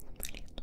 どんなに大きいの